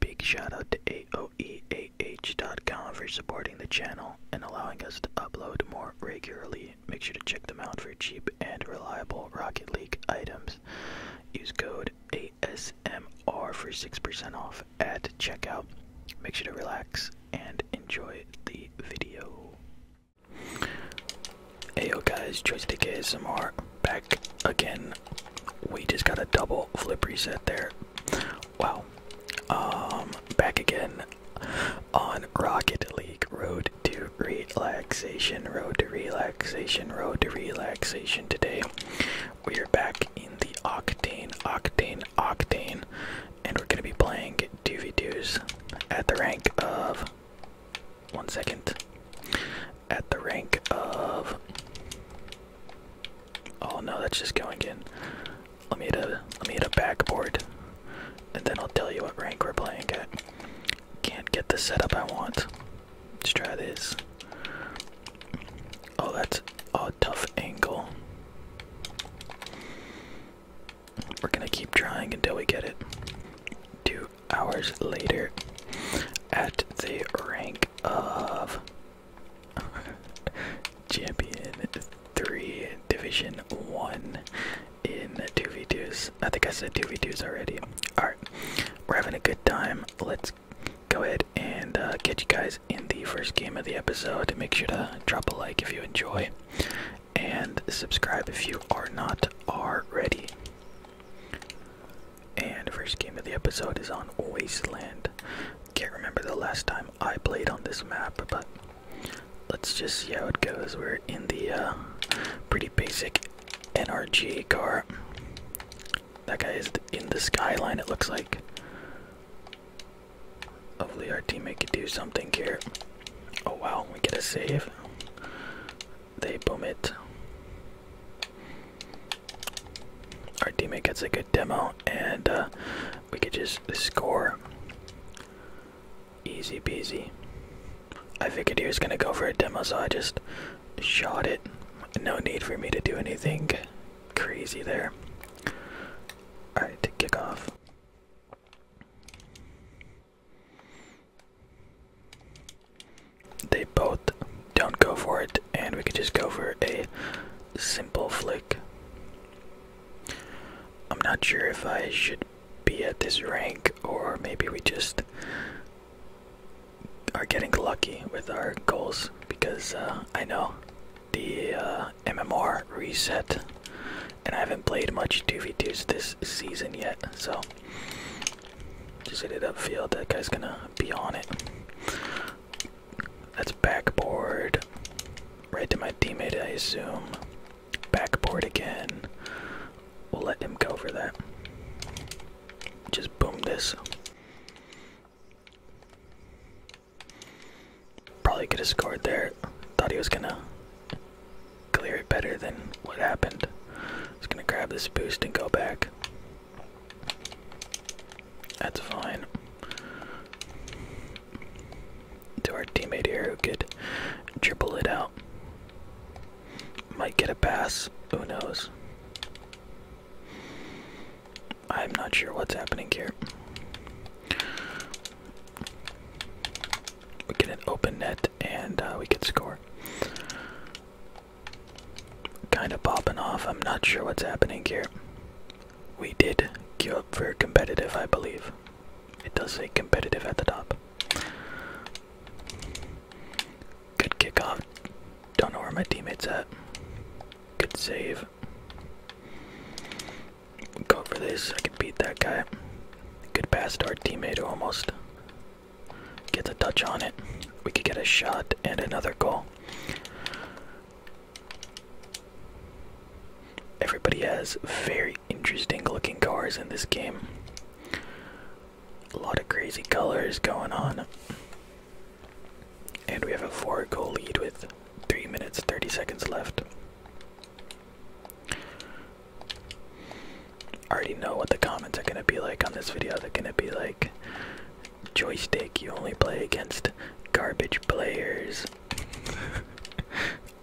Big shout out to AOEAH.com for supporting the channel and allowing us to upload more regularly. Make sure to check them out for cheap and reliable Rocket League items. Use code ASMR for 6% off at checkout. Make sure to relax and enjoy the video. Hey yo guys, Joystick ASMR back again we just got a double flip reset there. Wow. Um, back again on Rocket League Road to Relaxation, Road to Relaxation, Road to Relaxation today. We are back in the Octane, Octane, Octane, and we're going to be playing 2 2s at the rank of. One second at the rank of. Oh no, that's just going in. Let me hit a let me hit a backboard, and then I'll tell you what rank we're playing at. Can't get the setup I want. Let's try this. Oh, that's a tough angle. We're gonna keep trying until we get it. Two hours later, at the rank of Champion three, division one in two v twos. I think I said two v twos already. All right, we're having a good time. Let's go ahead and get uh, you guys in the first game of the episode. Make sure to drop a like if you enjoy, and subscribe if you are not already. And first game of the episode is on Wasteland. Can't remember the last time I played on this map, but let's just see how it goes. We're in the uh, pretty basic NRG car. That guy is in the skyline, it looks like. Hopefully, our teammate can do something here. Oh wow, we get a save. They boom it. Our teammate gets a good demo, and uh, we could just score. Easy peasy. I figured he was gonna go for a demo, so I just shot it. No need for me to do anything crazy there. Alright, to kick off. They both don't go for it, and we could just go for a simple flick. I'm not sure if I should be at this rank, or maybe we just are getting lucky with our goals because uh, I know the uh, MMR reset, and I haven't played much 2v2s this season yet, so just hit it upfield. That guy's gonna be on it. That's backboard. Right to my teammate, I assume. Backboard again. We'll let him go for that. Just boom this. Probably could have scored there. Thought he was gonna clear it better than what happened. Just gonna grab this boost and go back. That's fine. To our teammate here who could dribble it out. Might get a pass. Who knows? I'm not sure what's happening here. We get an open net and uh, we can score kind of popping off. I'm not sure what's happening here. We did queue up for competitive, I believe. It does say competitive at the top. Good kickoff. Don't know where my teammate's at. Good save. Go for this. I could beat that guy. Good pass to our teammate almost get the touch on it. We could get a shot and another goal. Everybody has very interesting looking cars in this game. A lot of crazy colors going on. And we have a 4 goal lead with 3 minutes 30 seconds left. I already know what the comments are going to be like on this video. They're going to be like, joystick. You only play against garbage players.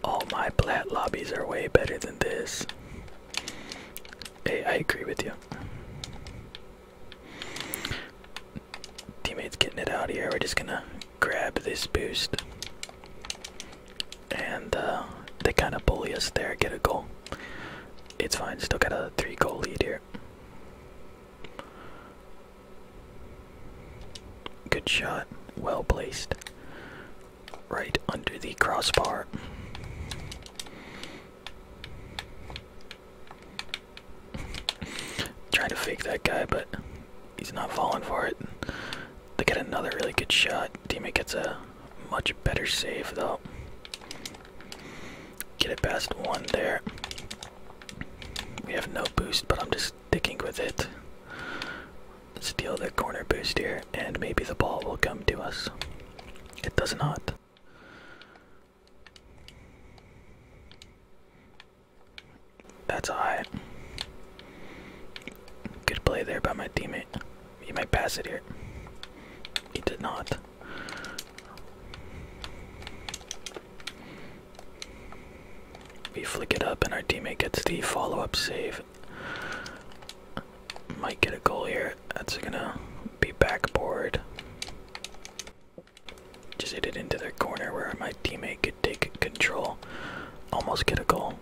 All my plat lobbies are way better than this. Hey, I agree with you. Teammates getting it out here. We're just gonna grab this boost. And uh, they kind of bully us there, get a goal. It's fine, still got a three goal lead here. Good shot. Well placed. Right under the crossbar. Trying to fake that guy, but he's not falling for it. They get another really good shot. Teammate gets a much better save, though. Get it past one there. We have no boost, but I'm just sticking with it. Steal the corner boost here, and maybe the ball will come to us. It does not. That's alright. Good play there by my teammate. He might pass it here. He did not. We flick it up, and our teammate gets the follow up save. Might get a goal here. That's gonna be backboard. Just hit it into the corner where my teammate could take control. Almost get a goal.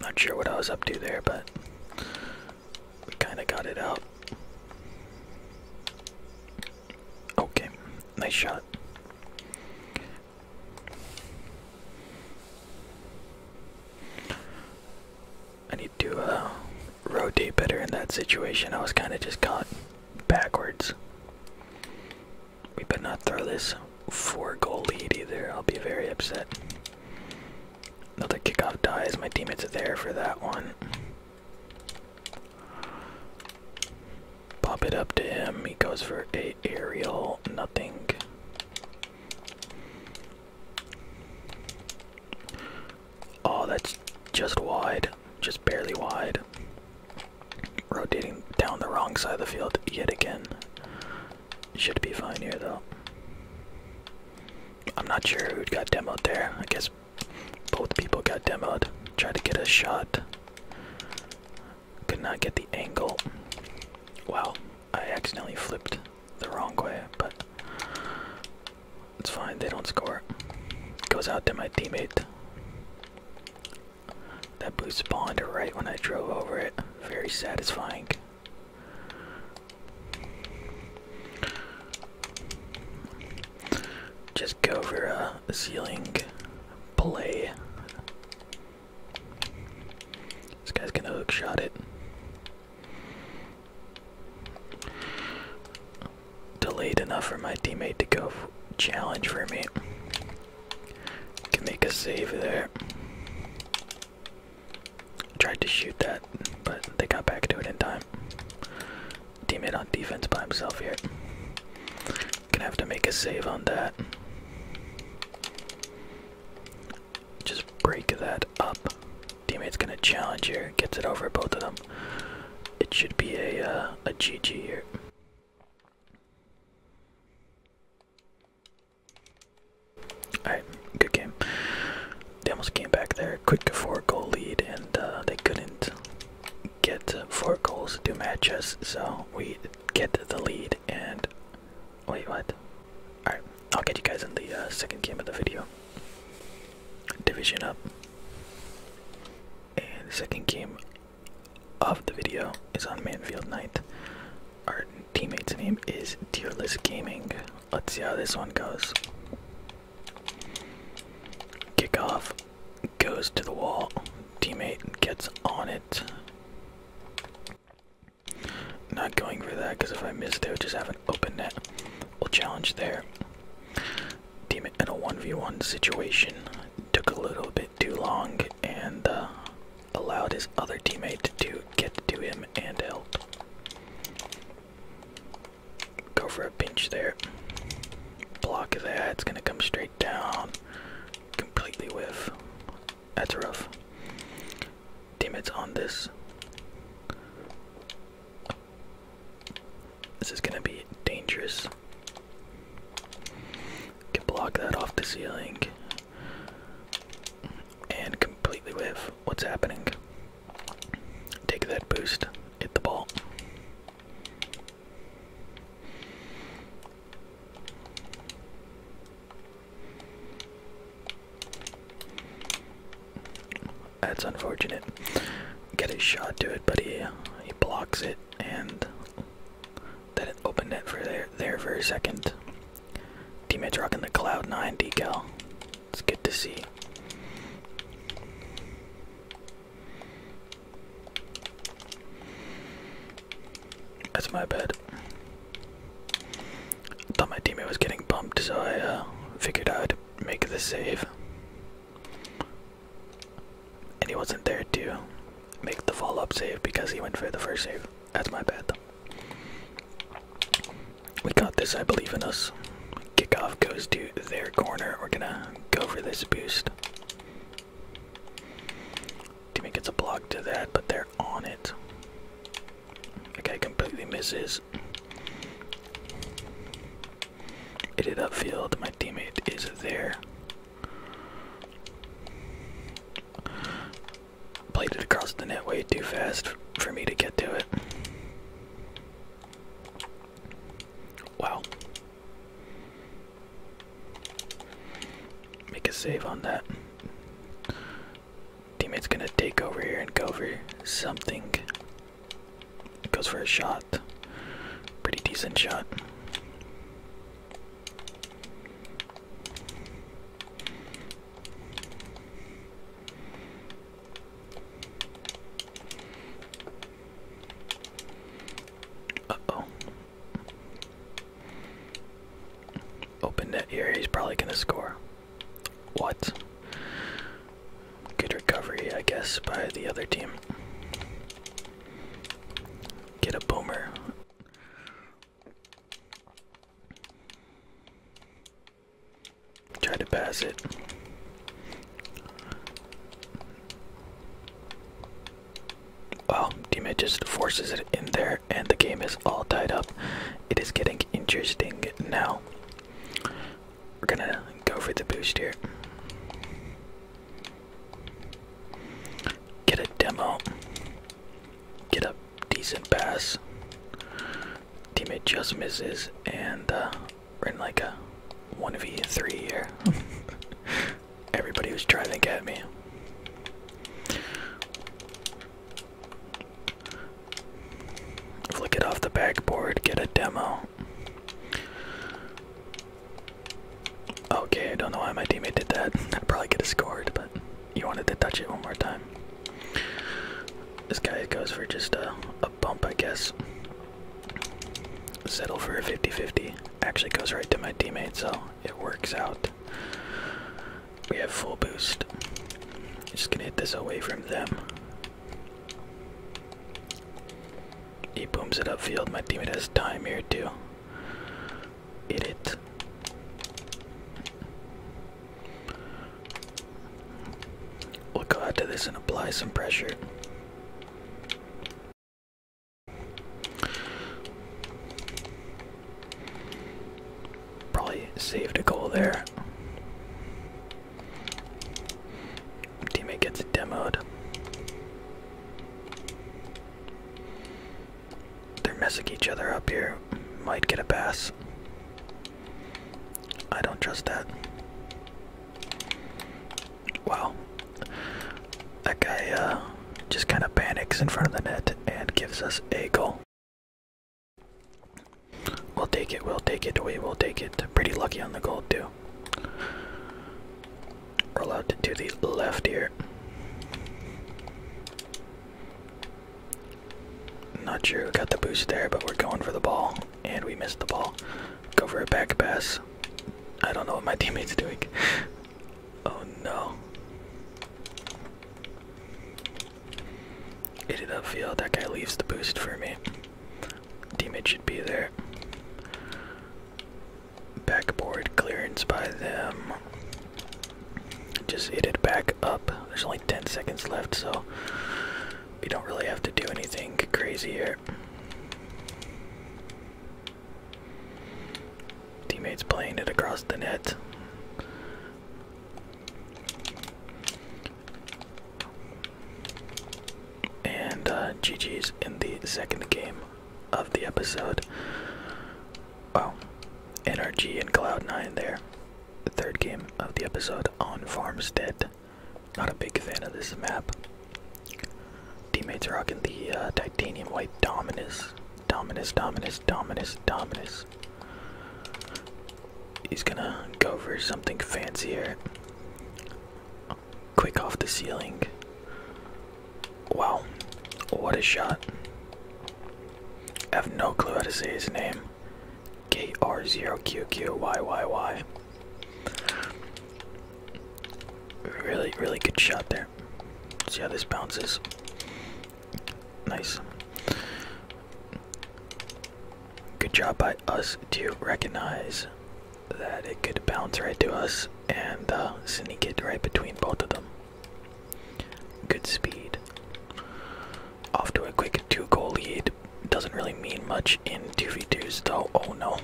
Not sure what I was up to there, but we kind of got it out. Okay, nice shot. I need to uh, rotate better in that situation. I was kind of just caught backwards. We better not throw this four goal lead either. I'll be very upset. Another kickoff dies. My teammates are there for that one. Pop it up to him. He goes for a aerial. Nothing. Oh, that's just wide. Just barely wide. Rotating down the wrong side of the field yet again. Should be fine here though. I'm not sure who got demoed there. I guess both people got demoed. Tried to get a shot. Could not get the angle. Wow, I accidentally flipped the wrong way, but it's fine, they don't score. Goes out to my teammate. That boot spawned right when I drove over it. Very satisfying. Just go for a ceiling play. This guy's gonna hook shot it. Delayed enough for my teammate to go challenge for me. Can make a save there. Tried to shoot that, but they got back to it in time. Teammate on defense by himself here. Gonna have to make a save on that. Just break that up. Teammate's gonna challenge here. Gets it over both of them. It should be a uh, a GG here. Alright, good game. They almost came back there, quick four goal lead, and uh, they couldn't get four goals to match us, so we get the lead. And wait, what? Alright, I'll get you guys in the uh, second game of the video. Division up. And second game of the video is on Manfield Knight. Our teammate's name is Tearless Gaming. Let's see how this one goes. Kickoff goes to the wall. Teammate gets on it. Not going for that because if I miss, they would just have an open net. We'll challenge there. Teammate in a 1v1 situation. Took a little bit too long and uh, allowed his other teammate to get to him and help. Go for a pinch there. Block of that. It's going to come straight down. Completely whiff. That's rough. Damn it's on this. This is going to be dangerous. Can block that off the ceiling. And completely whiff what's happening. Take that boost, hit the ball. That's unfortunate. Get a shot to it, but he, he blocks it and then it opened it for there there for a second. Teammates rocking the Cloud 9 decal. It's good to see. That's my bad. I thought my teammate was getting bumped, so I uh, figured I'd make the save and he wasn't there to make the follow up save because he went for the first save. That's my bad. We got this, I believe in us. Kickoff goes to their corner. We're gonna go for this boost. Teammate gets a block to that, but they're on it. The guy completely misses. It did upfield. My teammate is there. Played it across the net way too fast for me to get to it. Wow. Make a save on that. Teammate's gonna take over here and go for something. Goes for a shot. Pretty decent shot. Uh oh. Open that ear. he's probably gonna score. What? Good recovery, I guess, by the other team. Get a boomer. Try to pass it. Well, teammate just forces it in there, and the game is all tied up. It is getting interesting now. We're gonna go for the boost here. Get a demo get a decent pass. Teammate just misses, and uh, we're in like a 1v3 here. Everybody was trying to get me. Flick it off the backboard, get a demo. Okay, I don't know why my teammate did that. I would probably get a scored, but you wanted to touch it one more time. This guy goes for just a, a bump, I guess. Settle for a 50 50. Actually goes right to my teammate, so it works out. We have full boost. Just gonna hit this away from them. He booms it upfield. My teammate has time here, too idiot. We'll go out to this and apply some pressure. Probably saved a goal there. Teammate gets demoed. They're messing each other up here. Might get a pass. I don't trust that. Wow. That guy uh, just kind of panics in front of the net and gives us a goal. We'll take it, we'll take it, we will take it. Pretty lucky on the goal, too. We're allowed to do the left here. Not sure who got the boost there, but we're going for the ball, and we missed the ball. Go for it, back pass. I don't know what my teammate's doing. oh no. Hit it field. That guy leaves the boost for me. Teammate should be there. Backboard clearance by them. Just hit it back up. There's only 10 seconds left, so we don't really have to do anything crazy here. Teammates playing it across the net. And uh, GG's in the second game of the episode. Oh, NRG and Cloud9 there. The third game of the episode on Farmstead. Not a big fan of this map. Teammates rocking the uh, titanium white Dominus. Dominus, Dominus, Dominus, Dominus. He's gonna go for something fancier. Quick off the ceiling. Wow. What a shot. I have no clue how to say his name. KR0QQYYY. Really, really good shot there. See how this bounces. Nice. Good job by us to recognize that it could bounce right to us and uh, sneak it right between both of them. Good speed. Off to a quick two goal lead. Doesn't really mean much in 2v2s though. Oh no.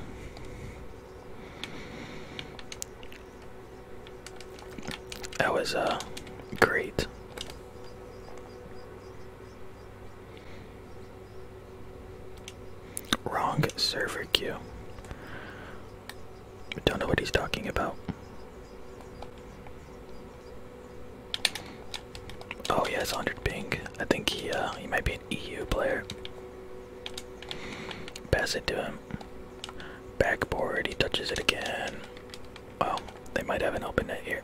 That was a uh, great. Wrong server queue. I don't know what he's talking about. Oh, he has 100 ping. I think he uh, he might be an EU player. Pass it to him. Backboard. He touches it again. Well, they might have an open net here.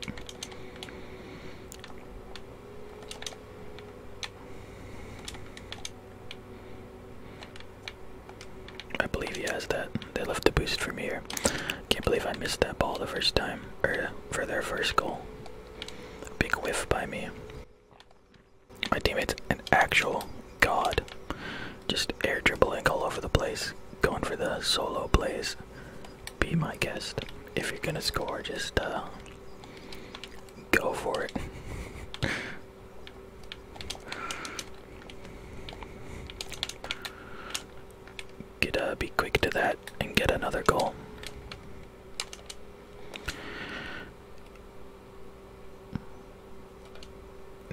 I believe he has that. They left the boost from here. Can't believe I missed that ball the first time, uh, for their first goal. Big whiff by me. My teammate's an actual god. Just air dribbling all over the place, going for the solo plays. Be my guest. If you're gonna score, just uh, go for it. Get uh, be quick to that and get another goal.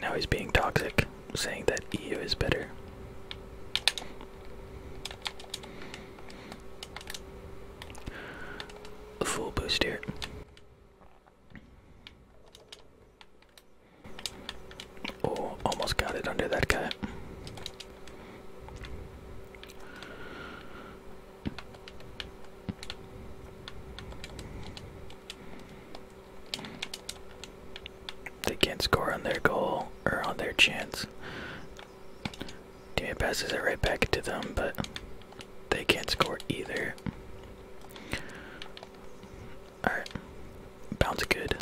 Now he's being toxic, saying that EU is better. A Full boost here. Oh, almost got it under that guy. They can't score on their goal or on their chance. Teammate passes it right back to them, but they can't score either. Alright. Bounce good.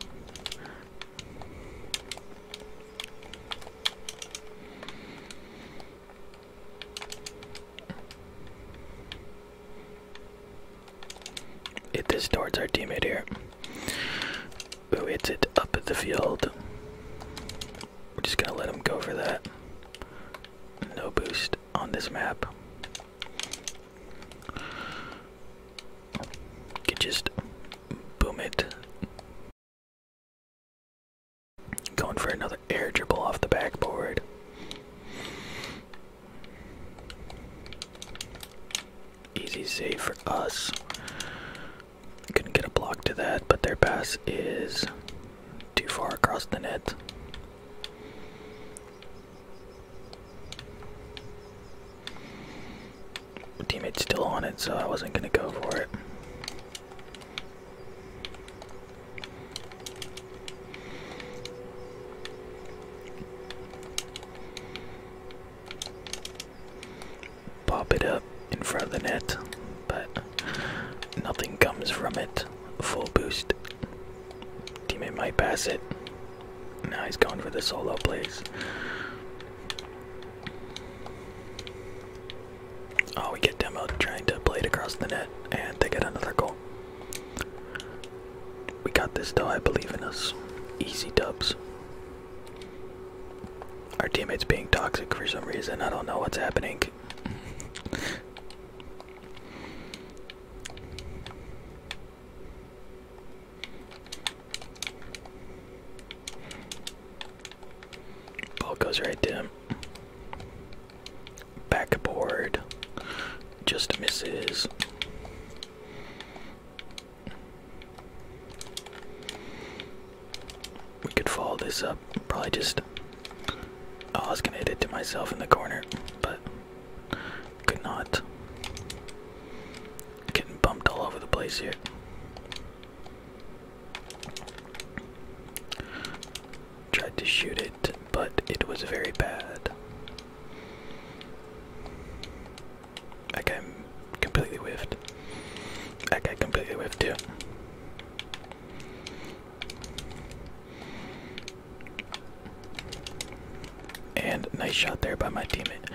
It is towards our teammate here. Who hits it up at the field? We're just gonna let him go for that. No boost on this map. Can just boom it. Going for another air dribble off the backboard. Easy save for us. Couldn't get a block to that, but their pass is too far across the net. My teammate's still on it, so I wasn't gonna go for it. Pop it up in front of the net, but nothing comes from it. Full boost. Teammate might pass it. Now he's going for the solo plays. Oh, we get Demo trying to play it across the net, and they get another goal. We got this though, I believe in us. Easy dubs. Our teammates being toxic for some reason. I don't know what's happening. Ball goes right to him. Backboard. Just misses. We could follow this up. Probably just. Oh, I was gonna hit it to myself in the corner, but could not. Getting bumped all over the place here. Tried to shoot it, but it was very bad. That guy completely whiffed. That guy completely whiffed too. And nice shot there by my teammate.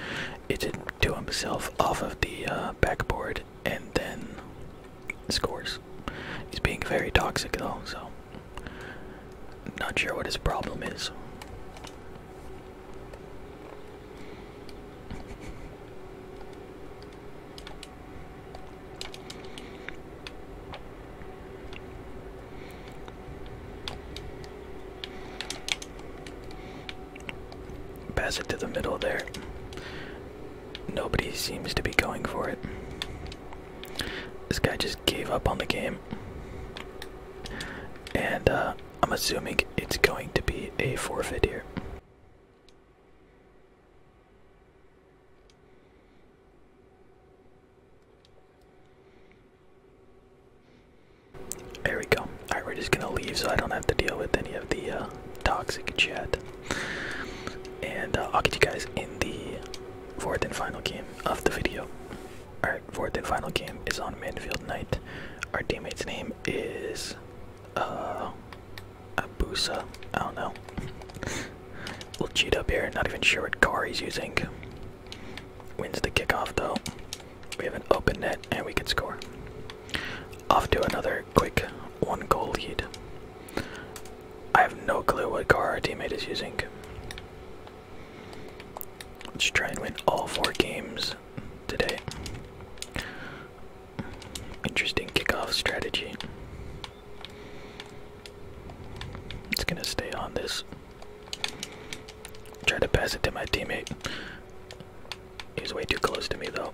It did to himself off of the uh, backboard and then scores. He's being very toxic though, so not sure what his problem is. Pass it to the middle there. Nobody seems to be going for it. This guy just gave up on the game. And uh, I'm assuming it's going to be a forfeit here. There we go. Alright, we're just gonna leave so I don't have to deal with any of the uh, toxic chat. And uh, I'll get you guys in the fourth and final game of the video. Alright, fourth and final game is on Manfield Night. Our teammate's name is uh Abusa. I don't know. we'll cheat up here, not even sure what car he's using. Wins the kickoff though. We have an open net and we can score. Off to another quick one goal lead. I have no clue what car our teammate is using. Let's try and win all four games today. Interesting kickoff strategy. It's gonna stay on this Try to pass it to my teammate. He's way too close to me though.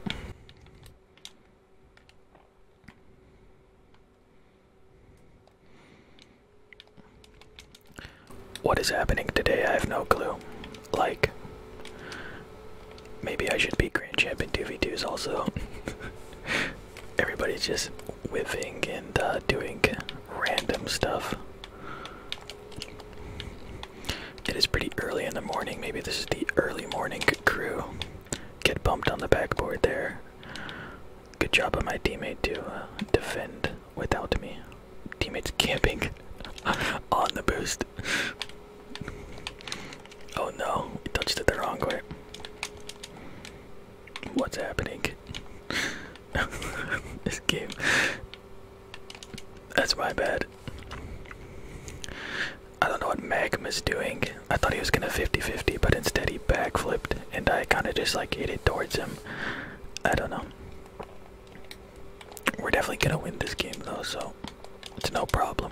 What is happening today? I have no clue. Like, maybe I should be Grand Champion 2v2s also. Everybody's just whiffing and uh, doing random stuff. It is pretty early in the morning. Maybe this is the early morning crew. Get bumped on the backboard there. Good job by my teammate to uh, defend without me. Teammates camping on the boost. Oh no, we touched it the wrong way. What's happening? this game that's my bad. I don't know what Magnum is doing. I thought he was gonna 50-50, but instead he backflipped and I kinda just like hit it towards him. I don't know. We're definitely gonna win this game though, so it's no problem.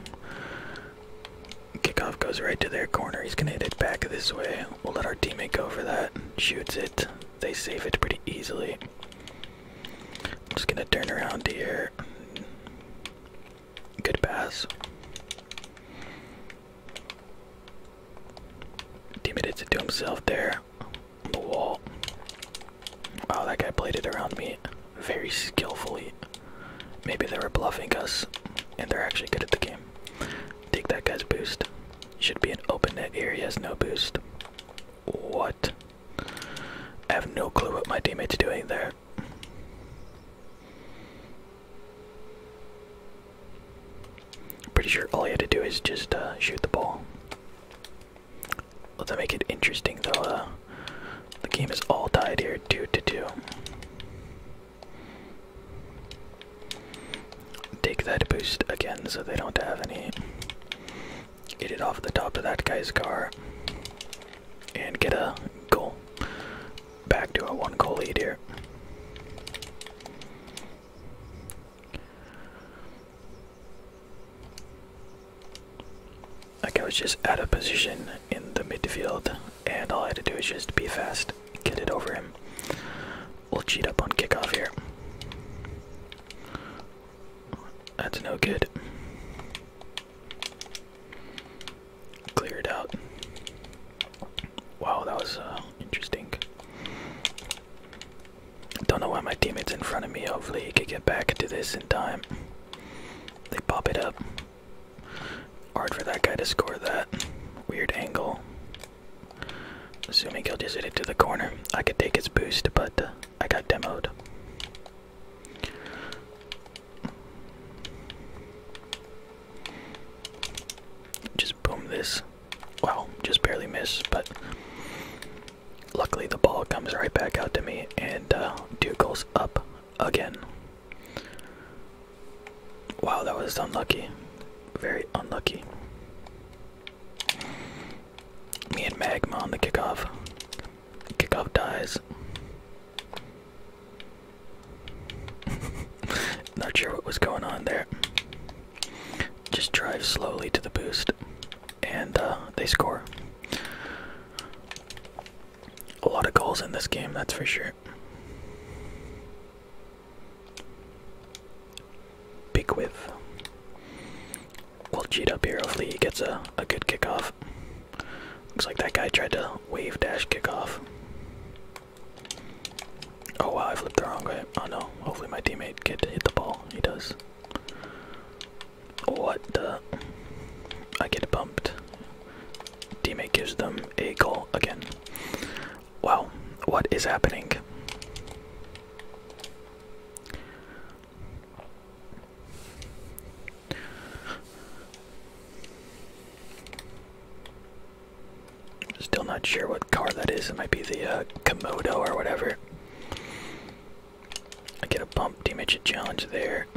Kickoff goes right to their corner. He's gonna hit it back this way. We'll let our teammate go for that. Shoots it they save it pretty easily. I'm just gonna turn around here. Good pass. Teammate did it to himself there on the wall. Wow, that guy played it around me very skillfully. Maybe they were bluffing us and they're actually good at the game. Take that guy's boost. Should be an open net area, has no boost. What? I have no clue what my teammate's doing there. Pretty sure all you had to do is just uh, shoot the ball. Let's make it interesting though. Uh, the game is all tied here, two to two take that boost again so they don't have any. Get it off the top of that guy's car and get a goal. Back to a one goal lead here. Like I was just out of position in the midfield, and all I had to do was just be fast, get it over him. We'll cheat up on kickoff here. That's no good. Cleared out. Wow, that was uh, interesting. Don't know why my teammate's in front of me. Hopefully, he could get back into this in time. They pop it up. Hard for that guy to score that. Weird angle. Assuming he'll just hit it to the corner. I could take his boost, but uh, I got demoed. Just boom this. Wow, just barely miss, but luckily the ball comes right back out to me, and uh, two goals up again. Wow, that was unlucky. Very unlucky. Me and Magma on the kickoff. Kickoff dies. Not sure what was going on there. Just drive slowly to the boost, and uh, they score. A lot of goals in this game, that's for sure big with. We'll cheat up here. Hopefully he gets a, a good kickoff. Looks like that guy tried to wave dash kickoff. Oh wow, I flipped the wrong way. Oh no. Hopefully my teammate can hit the ball. He does. What the? I get bumped. Teammate gives them a goal again. Well, what is happening? Still not sure what car that is. It might be the uh, Komodo or whatever. I get a bump damage challenge there.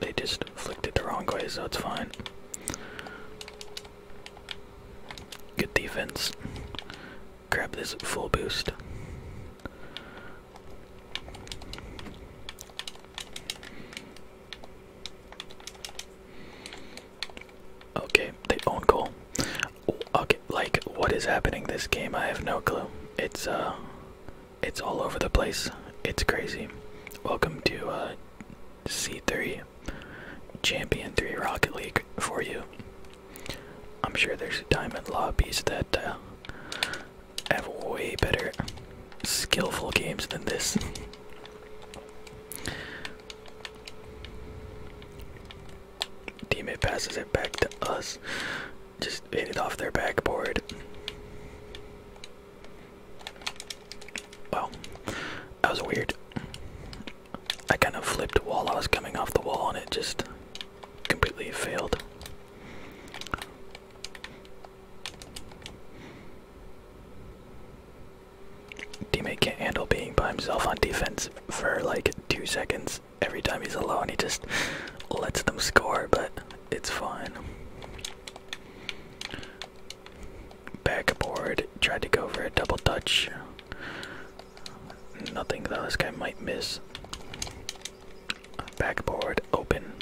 They just flicked it the wrong way, so it's fine. Good defense grab this full boost. Okay, they own goal. Okay, like what is happening this game? I have no clue. It's uh it's all over the place. It's crazy. Welcome to uh, C3 Champion 3 Rocket League for you. I'm sure there's diamond lobbies that uh, have way better skillful games than this. Teammate passes it back to us. Just hit it off their backboard. Wow. That was weird. I kind of flipped while I was coming off the wall and it just completely failed. Teammate can't handle being by himself on defense for like two seconds every time he's alone. He just lets them score, but it's fine. Backboard tried to go for a double touch. Nothing, that This guy might miss. Backboard open.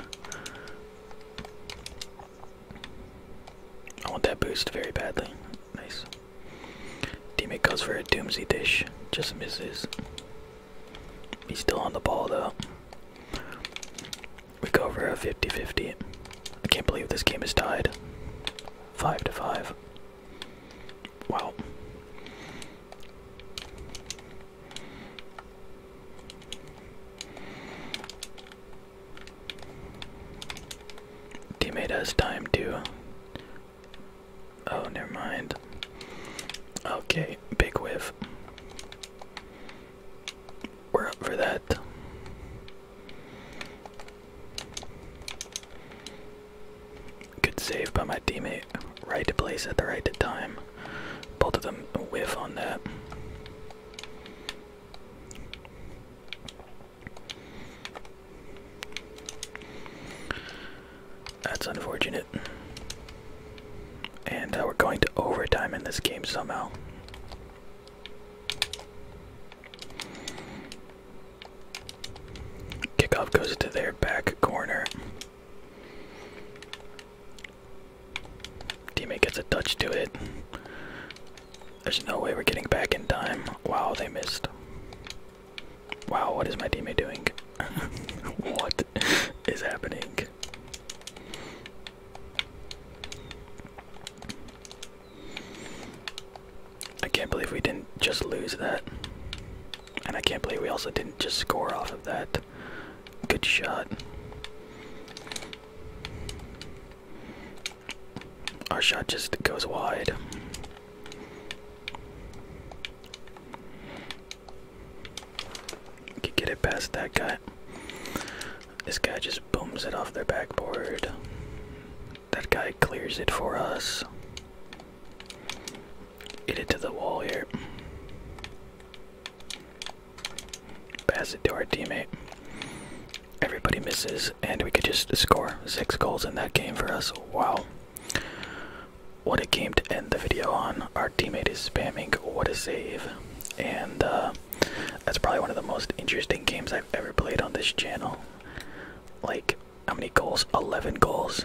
I want that boost very badly. Nice. Teammate goes for a doomsy dish. Just misses. He's still on the ball, though. We go for a 50 50. I can't believe this game is tied. 5 to 5. Well. Teammate has time to. Oh, never mind. Okay, big whiff. We're up for that. Good save by my teammate. Right to place at the right time. Both of them whiff on that. That's unfortunate. And uh, we're going to overtime in this game somehow. Kickoff goes to their back corner. Teammate gets a touch to it. There's no way we're getting back in time. Wow, they missed. Wow, what is my teammate doing? what is happening? I can't believe we didn't just lose that. And I can't believe we also didn't just score off of that. Good shot. Our shot just goes wide. Could get it past that guy. This guy just booms it off their backboard. That guy clears it for us. Get it to the wall here. Pass it to our teammate. Everybody misses, and we could just score six goals in that game for us. Wow. What a game to end the video on. Our teammate is spamming. What a save. And uh, that's probably one of the most interesting games I've ever played on this channel. Like, how many goals? 11 goals.